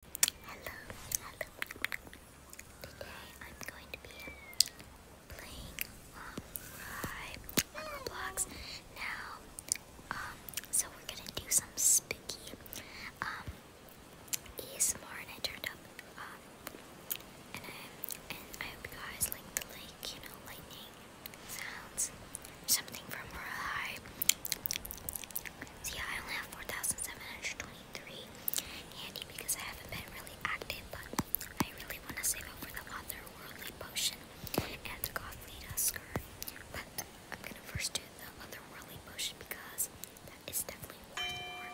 Hello, hello. Today I'm going to be playing um rhyme Now, um, so we're gonna do some spooky um ASMR and turned up um, and I hope you guys like the like, you know, lightning sounds. Something from rhyme. So I only have 4,723 handy because I haven't been really active, but I really want to save up for the otherworldly potion and the godly dusker. But I'm gonna first do the otherworldly potion because that is definitely worth more.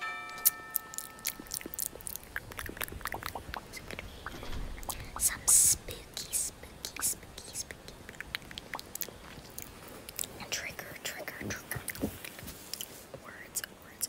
some spooky, spooky, spooky, spooky. Trigger, trigger, trigger. Words, words.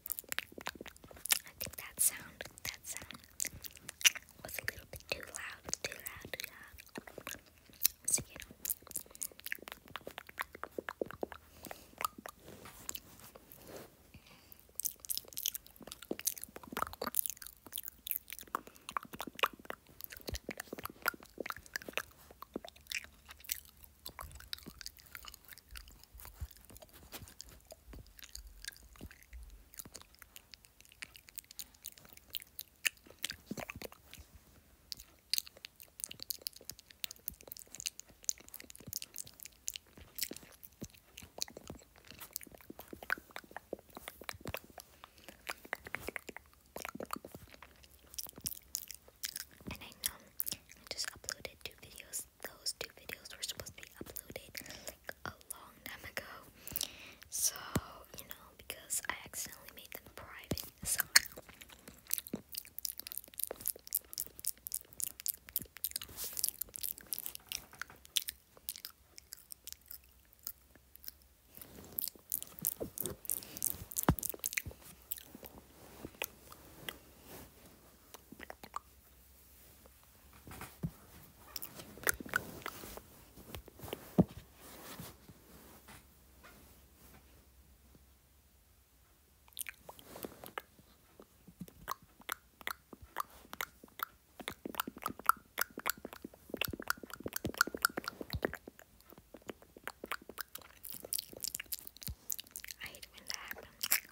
I think that sound, that sound was a little bit too loud, too loud, too loud. you and I know just uploaded two videos those two videos were supposed to be uploaded like a long time ago. So, you know, because I accidentally made them private. So I hate when that happens.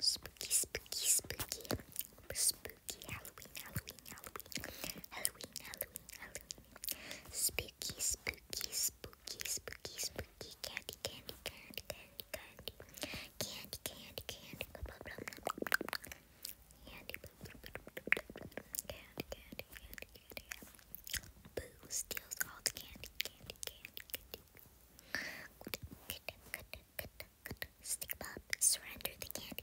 Spooky, spooky, spooky. Spooky Halloween, Halloween, Halloween. Halloween, Halloween, Halloween. Spooky, spooky, spooky, spooky, spooky candy, candy, candy, candy, candy, candy, candy, candy, candy, blah, blah, blah, candy, blah, blah, blah, candy, candy, candy, candy, candy. Boo steals all the candy, candy, candy, candy. Good, good, good, good, good. Stick Bob, surrender the candy.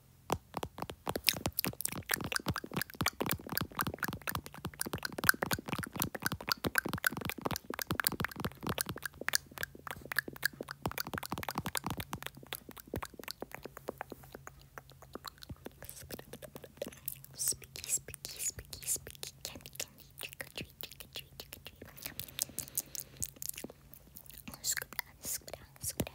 Spooky, spooky, spooky, spooky candy, candy, trick or treat, trick or treat, trick or treat. Oh, scoot down, scoot down, scoot down.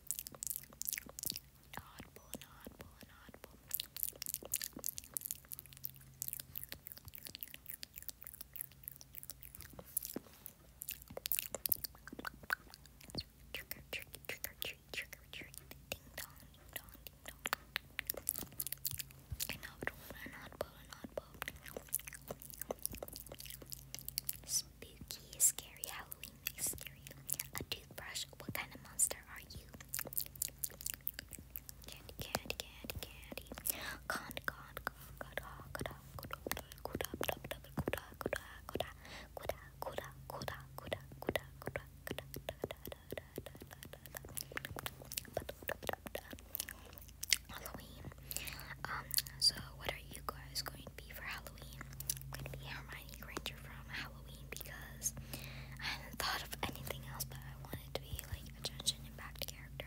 audible, inaudible, inaudible. Trigger, trigger, trigger, trigger, trigger, trigger, ding dong, ding dong, ding dong. Inaudible, inaudible, inaudible. Spooky, scary Halloween, scary. A toothbrush. What kind of monster are you? Candy, candy, candy, candy. Con, con, con, con, con, Halloween. Um, so what are you guys going to be for Halloween? gonna be Hermione Granger from Halloween because I thought of anything else, but I wanted to be like a judge impact character.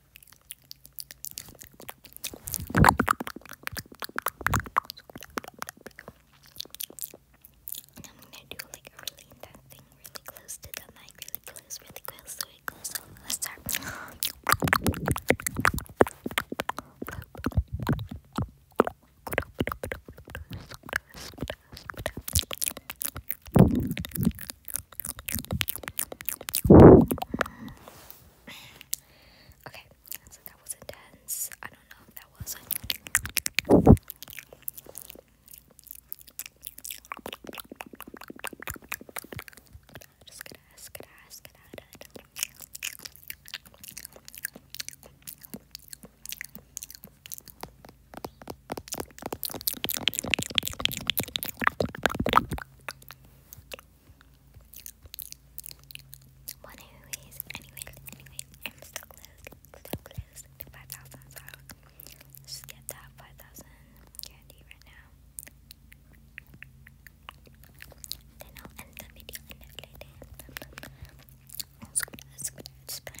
And I'm gonna do like a really intense thing really close to the mic, really close, really close, really close. So let's start okay, so that was intense. I don't know if that was. Just gonna ask, gonna ask, one anyways, anyways, anyways, I'm so close, so close to 5,000, so just get that 5,000 candy right now. Then I'll end the video and I'll play it. I'll squid out, squid out,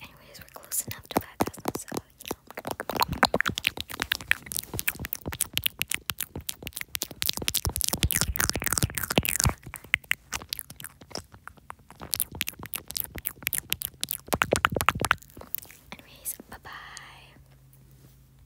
Anyways, we're close enough to 5,000, so, you know. Anyways, bye-bye.